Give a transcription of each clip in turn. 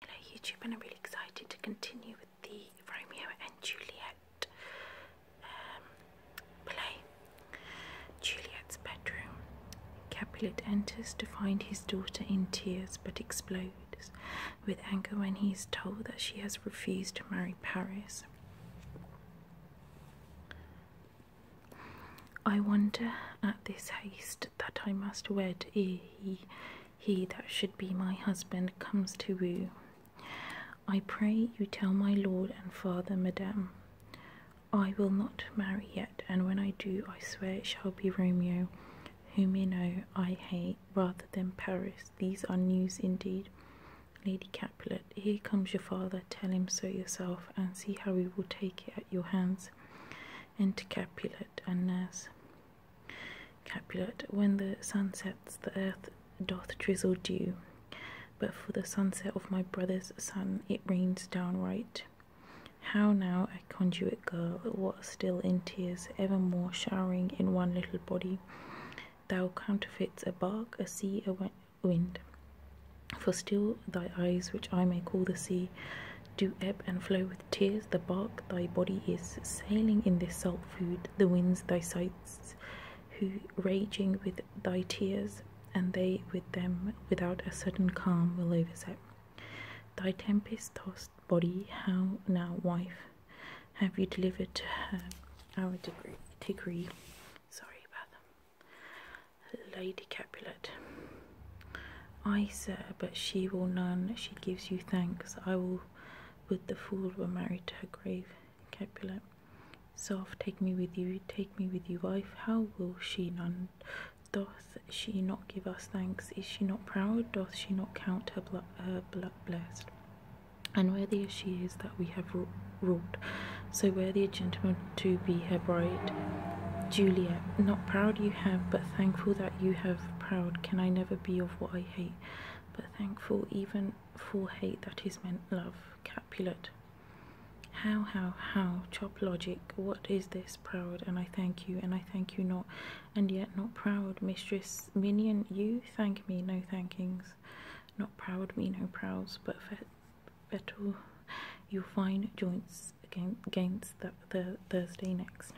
Hello YouTube and I'm really excited to continue with the Romeo and Juliet um, play. Juliet's bedroom. Capulet enters to find his daughter in tears but explodes with anger when he is told that she has refused to marry Paris. I wonder at this haste that I must wed ere he, he that should be my husband comes to woo. I pray you tell my lord and father, madam, I will not marry yet, and when I do, I swear it shall be Romeo, whom you know I hate rather than Paris. These are news indeed. Lady Capulet, here comes your father, tell him so yourself, and see how he will take it at your hands. Enter Capulet and nurse. Capulet, when the sun sets, the earth doth drizzle dew, but for the sunset of my brother's son it rains downright. How now, a conduit girl, what still in tears, evermore showering in one little body, thou counterfeits a bark, a sea, a wind. For still thy eyes, which I may call the sea, do ebb and flow with tears, the bark thy body is, sailing in this salt food, the winds thy sights, who raging with thy tears, and they with them, without a sudden calm will overset. Thy tempest tossed body, how now, wife, have you delivered to her our degree? sorry about them. Lady Capulet. I, sir, but she will none, she gives you thanks. I will, with the fool were married to her grave. Capulet. Soft, take me with you, take me with you, wife. How will she none? Doth she not give us thanks? Is she not proud? Doth she not count her blood, her blood blessed? And worthy as she is that we have ruled, so worthy a gentleman to be her bride. Juliet, not proud you have, but thankful that you have proud can I never be of what I hate, but thankful even for hate that is meant love. Capulet. How, how, how, chop logic, what is this proud? And I thank you, and I thank you not, and yet not proud. Mistress Minion, you thank me, no thankings. Not proud, me no prowls, but fet- fettle your fine joints against the Thursday next.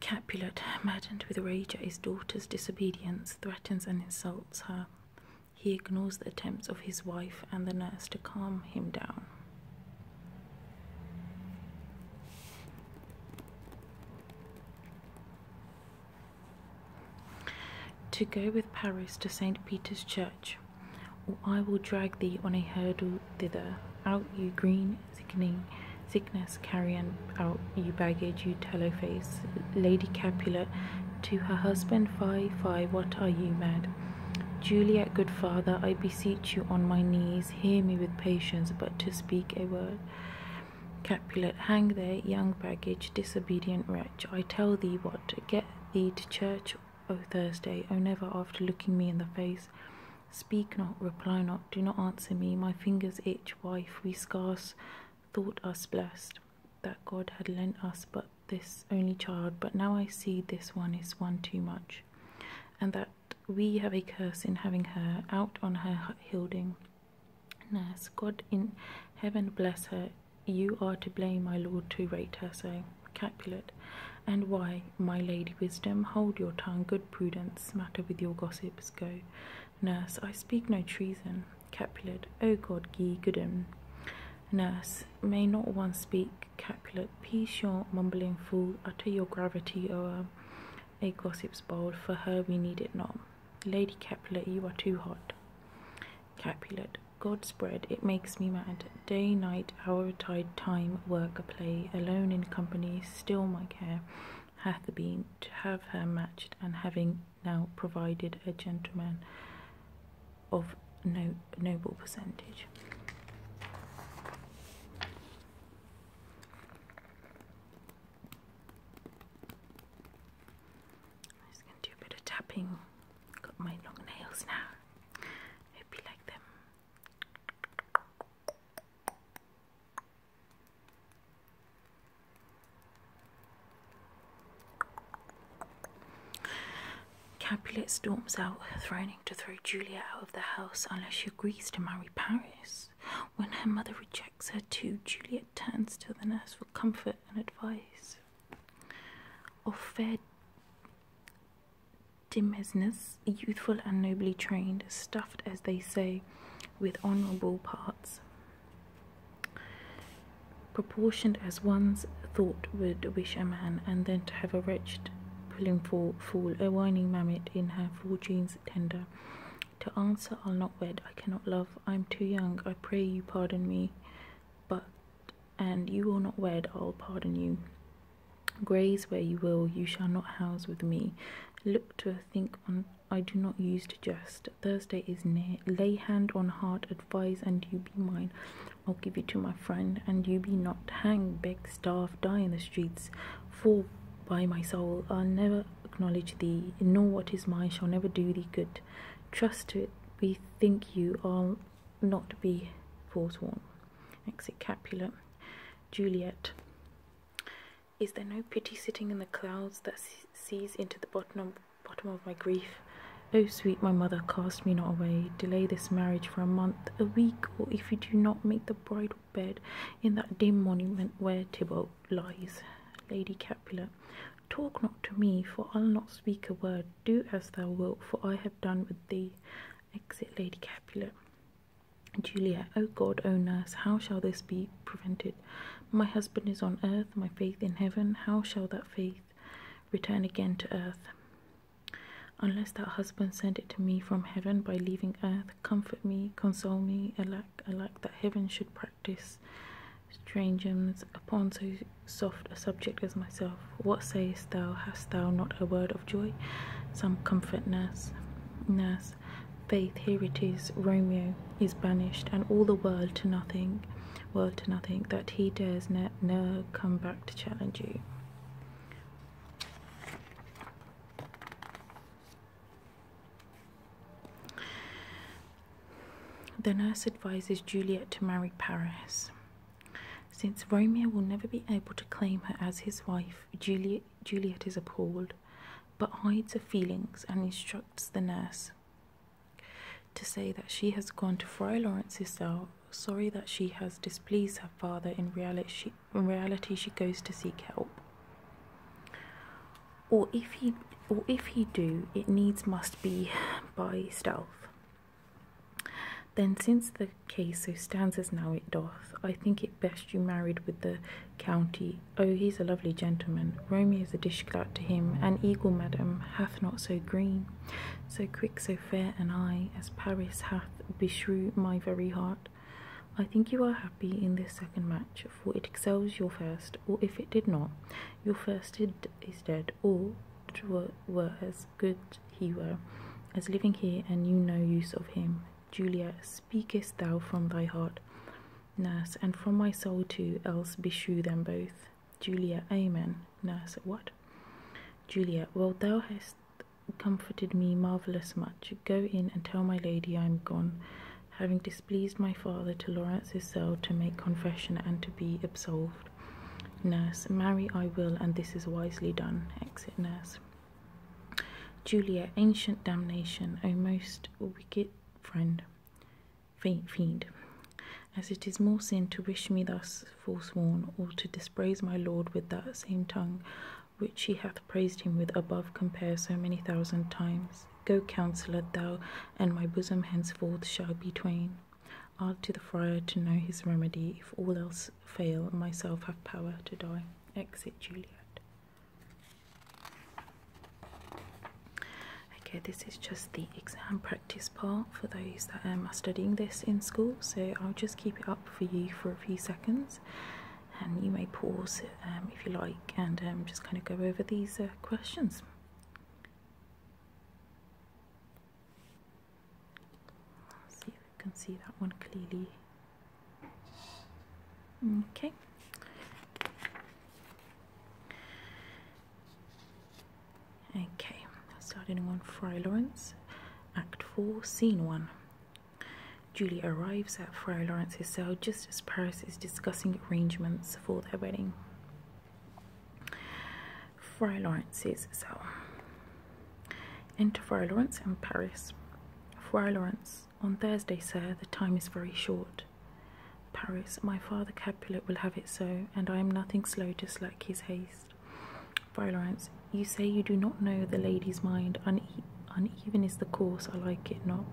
Capulet, maddened with rage at his daughter's disobedience, threatens and insults her. He ignores the attempts of his wife and the nurse to calm him down. To go with Paris to St. Peter's Church, or I will drag thee on a hurdle thither, out you green, sickening sickness, carrion, out you baggage, you tallow face, Lady Capulet, to her husband, fie, fie, what are you mad? Juliet, good father, I beseech you on my knees, hear me with patience, but to speak a word. Capulet, hang there, young baggage, disobedient wretch. I tell thee what, get thee to church, O Thursday, O never after looking me in the face. Speak not, reply not, do not answer me. My fingers itch, wife, we scarce thought us blest that God had lent us but this only child, but now I see this one is one too much, and that we have a curse in having her out on her hilding. Nurse, God in heaven bless her. You are to blame, my lord, to rate her so. Capulet, and why, my lady wisdom, hold your tongue, good prudence, matter with your gossips, go. Nurse, I speak no treason. Capulet, O God, gi' Goodem. Nurse, may not one speak. Capulet, peace your mumbling fool, utter your gravity o'er a gossip's bold, for her we need it not. Lady Capulet, you are too hot. Capulet, God spread, it makes me mad. Day, night, hour, tide, time, work, a play, alone in company, still my care hath been to have her matched, and having now provided a gentleman of no noble percentage just gonna do a bit of tapping. Got my long nails now. Hope you like them. Capulet storms out, threatening to throw Julia out of the house unless she agrees to marry Paris. When her mother rejects her too, Juliet turns to the nurse for comfort and advice. Of fair dimnesses, youthful and nobly trained, stuffed as they say, with honourable parts, proportioned as one's thought would wish a man, and then to have a wretched pulling fool, fool a whining mammet in her four fortune's tender, to answer, I'll not wed. I cannot love. I am too young. I pray you pardon me. But, and you will not wed, I'll pardon you. Graze where you will, you shall not house with me. Look to think on, I do not use to jest. Thursday is near. Lay hand on heart, advise, and you be mine. I'll give it to my friend, and you be not. Hang, beg, starve, die in the streets. For, by my soul, I'll never acknowledge thee, and know what is mine shall never do thee good. Trust to it, bethink you, I'll not be forsworn. Exit Capulet. Juliet. Is there no pity sitting in the clouds that sees into the bottom of, bottom of my grief? O oh, sweet my mother, cast me not away. Delay this marriage for a month, a week, or if you do not make the bridal bed in that dim monument where Tibalt lies. Lady Capulet, talk not to me, for I'll not speak a word. Do as thou wilt, for I have done with thee. Exit Lady Capulet. Juliet, O God, O nurse, how shall this be prevented? My husband is on earth, my faith in heaven. How shall that faith return again to earth? Unless that husband send it to me from heaven by leaving earth, comfort me, console me, alack, I like that heaven should practice strangers upon so soft a subject as myself. What sayest thou? Hast thou not a word of joy? Some comfortness, nurse. faith, here it is. Romeo is banished, and all the world to nothing, world to nothing, that he dares ne'er come back to challenge you. The nurse advises Juliet to marry Paris. Since Romeo will never be able to claim her as his wife, Juliet, Juliet is appalled, but hides her feelings and instructs the nurse to say that she has gone to Friar Lawrence's cell, sorry that she has displeased her father. In reality, in reality, she goes to seek help. Or if he, or if he do, it needs must be by stealth. Then, since the case so stands as now it doth, I think it best you married with the county. Oh, he's a lovely gentleman. Romeo's a dish clout to him, An eagle, madam, hath not so green, so quick, so fair an eye as Paris hath beshrew my very heart. I think you are happy in this second match, for it excels your first, or if it did not, your first is dead, or were, as good he were as living here, and you no use of him. Julia, speakest thou from thy heart? Nurse, and from my soul too, else beshrew them both. Julia, Amen. Nurse, what? Julia, well, thou hast comforted me marvellous much. Go in and tell my lady I am gone, having displeased my father to Lawrence's cell to make confession and to be absolved. Nurse, marry I will, and this is wisely done. Exit nurse. Julia, ancient damnation, O most wicked friend, fiend, as it is more sin to wish me thus forsworn, or to dispraise my lord with that same tongue, which she hath praised him with above compare so many thousand times. Go, counsellor, thou, and my bosom henceforth shall be twain. I'll to the friar to know his remedy. If all else fail, myself have power to die. Exit Juliet. Okay, this is just the exam practice part for those that are studying this in school, so I'll just keep it up for you for a few seconds and um, you may pause um, if you like and um, just kind of go over these uh, questions. see if you can see that one clearly. Okay. Okay, starting on Fry Lawrence, Act 4, Scene 1. Julie arrives at Frau Lawrence's cell just as Paris is discussing arrangements for their wedding. Frau Lawrence's cell. Enter Frau Lawrence and Paris. Frau Lawrence, on Thursday, sir, the time is very short. Paris, my father Capulet will have it so, and I am nothing slow to slack his haste. Friar Laurence, you say you do not know the lady's mind. uneven is the course, I like it not.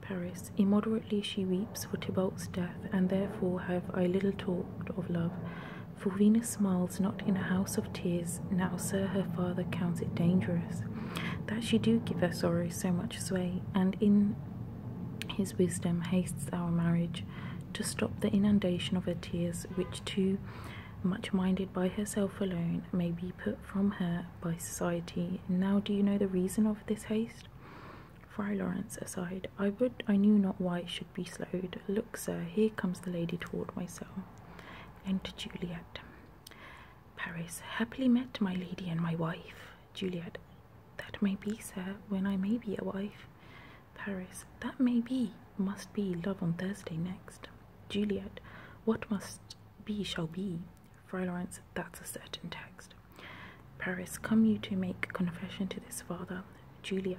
Paris, immoderately she weeps for Tybalt's death, and therefore have I little talked of love. For Venus smiles not in a house of tears, now, sir, her father counts it dangerous that she do give her sorrow so much sway, and in his wisdom hastes our marriage to stop the inundation of her tears, which too much minded by herself alone, may be put from her by society. Now do you know the reason of this haste? Fry Lawrence aside, I would I knew not why it should be slowed. Look, sir, here comes the lady toward myself. Enter Juliet. Paris, happily met, my lady and my wife. Juliet, that may be, sir, when I may be a wife. Paris, that may be, must be love on Thursday next. Juliet, what must be shall be. Fräuleins, that's a certain text. Paris, come you to make confession to this father. Juliet,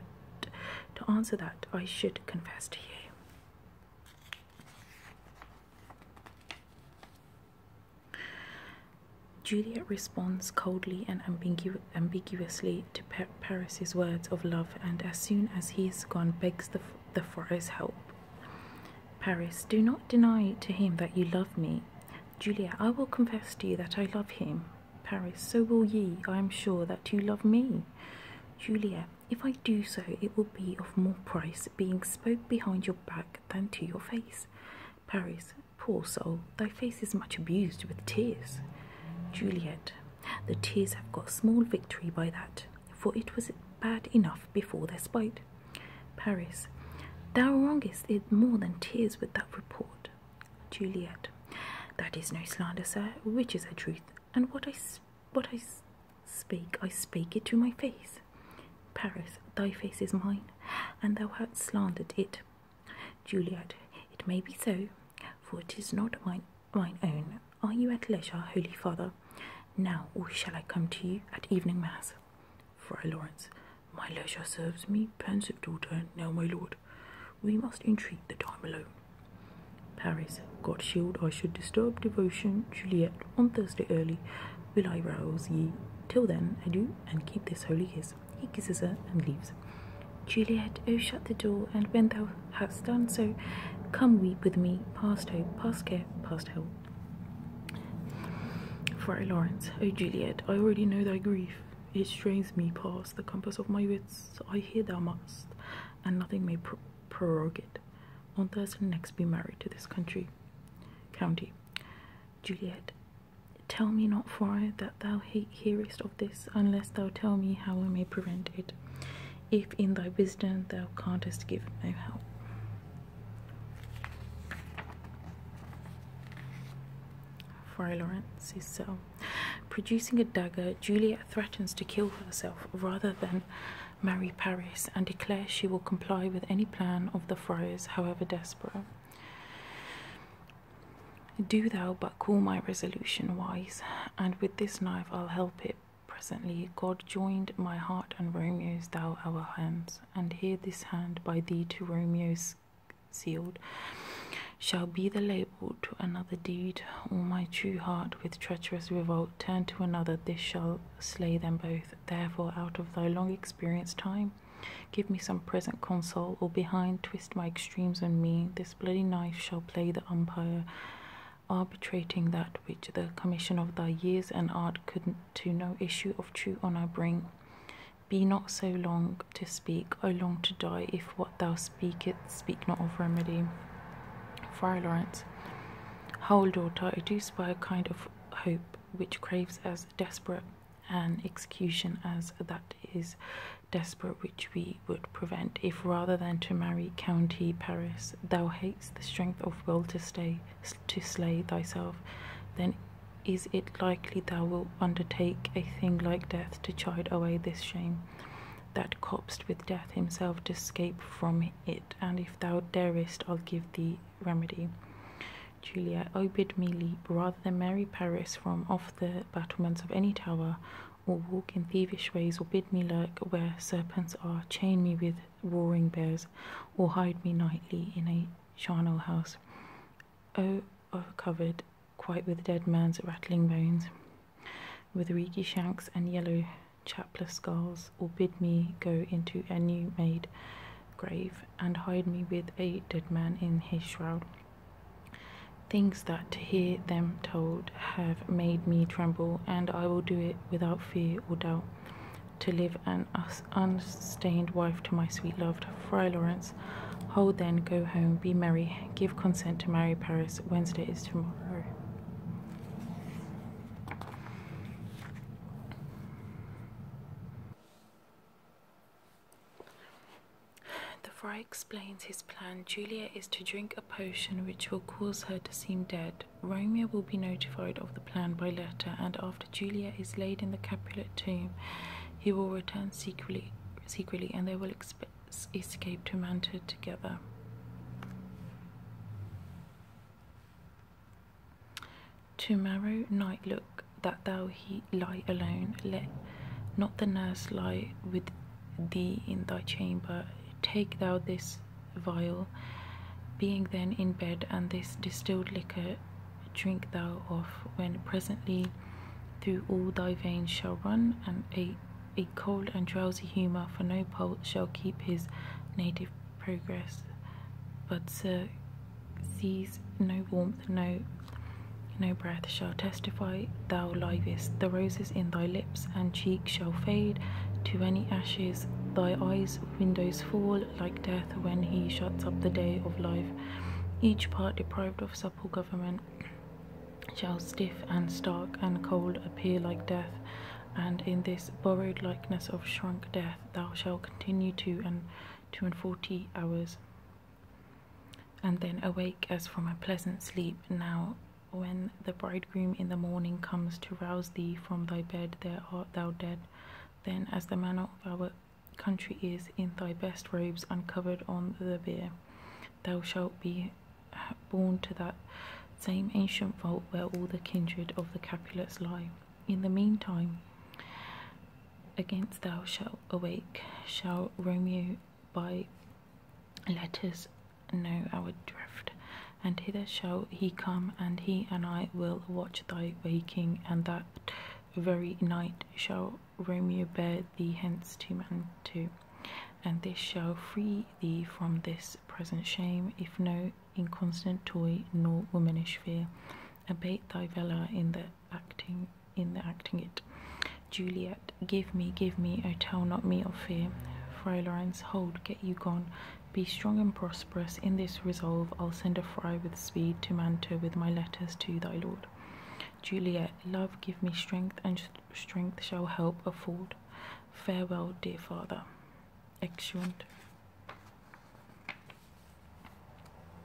to answer that, I should confess to you. Juliet responds coldly and ambiguously to per Paris's words of love, and as soon as he is gone, begs the, the friar's help. Paris, do not deny to him that you love me. Juliet, I will confess to you that I love him. Paris, so will ye, I am sure, that you love me. Juliet, if I do so, it will be of more price being spoke behind your back than to your face. Paris, poor soul, thy face is much abused with tears. Juliet, the tears have got small victory by that, for it was bad enough before their spite. Paris, thou wrongest it more than tears with that report. Juliet, that is no slander, sir, which is a truth, and what I, what I speak, I spake it to my face. Paris, thy face is mine, and thou hast slandered it. Juliet, it may be so, for it is not mine mine own, are you at leisure, Holy Father? Now, or shall I come to you at evening mass? Friar Lawrence, my leisure serves me, pensive daughter, now my lord. We must entreat the time alone. Paris, God shield I should disturb devotion, Juliet, on Thursday early, will I rouse ye. Till then, adieu, and keep this holy kiss. He kisses her and leaves. Juliet, O oh, shut the door, and when thou hast done so, come weep with me, past hope, past care, past help. Friar Lawrence, O oh, Juliet, I already know thy grief. It strains me past the compass of my wits. I hear thou must, and nothing may pr prorogue it. On Thursday next, be married to this country. County. Juliet, tell me not, friar, that thou ha hearest of this, unless thou tell me how I may prevent it, if in thy wisdom thou canst give no help. Fry is so. Producing a dagger, Juliet threatens to kill herself rather than marry Paris and declares she will comply with any plan of the friars, however desperate. Do thou but call my resolution wise, and with this knife I'll help it. Presently, God joined my heart and Romeo's, thou our hands, and here this hand by thee to Romeo's sealed shall be the label to another deed. All my true heart with treacherous revolt turn to another, this shall slay them both. Therefore, out of thy long experienced time, give me some present console, or behind twist my extremes and me. This this bloody knife shall play the umpire, arbitrating that which the commission of thy years and art could to no issue of true honour bring. Be not so long to speak, I long to die, if what thou speakest speak not of remedy. Friar Lawrence, Whole daughter, I do spy a kind of hope which craves as desperate an execution as that is desperate which we would prevent, if rather than to marry county Paris, thou hatest the strength of will to stay to slay thyself, then is it likely thou wilt undertake a thing like death to chide away this shame? That copsed with death himself to escape from it, and if thou darest, I'll give thee remedy. Julia, O bid me leap rather than marry Paris from off the battlements of any tower, or walk in thievish ways, or bid me lurk where serpents are, chain me with roaring bears, or hide me nightly in a charnel house, oh, covered quite with dead man's rattling bones, with reeky shanks and yellow chapless skulls, or bid me go into a new made grave, and hide me with a dead man in his shroud. Things that to hear them told have made me tremble, and I will do it without fear or doubt. To live an unstained wife to my sweet loved Fry Lawrence. Hold then, go home, be merry, give consent to marry Paris. Wednesday is tomorrow. The friar explains his plan. Julia is to drink a potion which will cause her to seem dead. Romeo will be notified of the plan by letter, and after Julia is laid in the Capulet tomb, he will return secretly, secretly, and they will escape to Manta together. Tomorrow night, look, that thou he lie alone. Let not the nurse lie with thee in thy chamber. Take thou this vial, being then in bed, and this distilled liquor drink thou off. when presently through all thy veins shall run, and a, a cold and drowsy humour, for no pulse shall keep his native progress, but sees no warmth, no no breath shall testify, thou livest. The roses in thy lips and cheek shall fade to any ashes. Thy eyes' windows fall like death when he shuts up the day of life. Each part deprived of supple government shall stiff and stark and cold appear like death. And in this borrowed likeness of shrunk death, thou shalt continue two and two and forty hours. And then awake as from a pleasant sleep. Now, when the bridegroom in the morning comes to rouse thee from thy bed, there art thou dead. Then, as the manner of our country is, in thy best robes uncovered on the bier, thou shalt be borne to that same ancient vault where all the kindred of the Capulets lie. In the meantime, against thou shalt awake, shall Romeo by letters know our drift, and hither shall he come, and he and I will watch thy waking, and that very night shall Romeo bear thee hence to Mantua, and this shall free thee from this present shame, if no inconstant toy nor womanish fear. Abate thy valor in the acting in the acting it. Juliet, give me, give me, O tell not me of fear. Friar Laurence, hold, get you gone. Be strong and prosperous. In this resolve, I'll send a friar with speed to Manta with my letters to thy lord. Juliet, love, give me strength, and strength shall help afford. Farewell, dear father. Exeunt.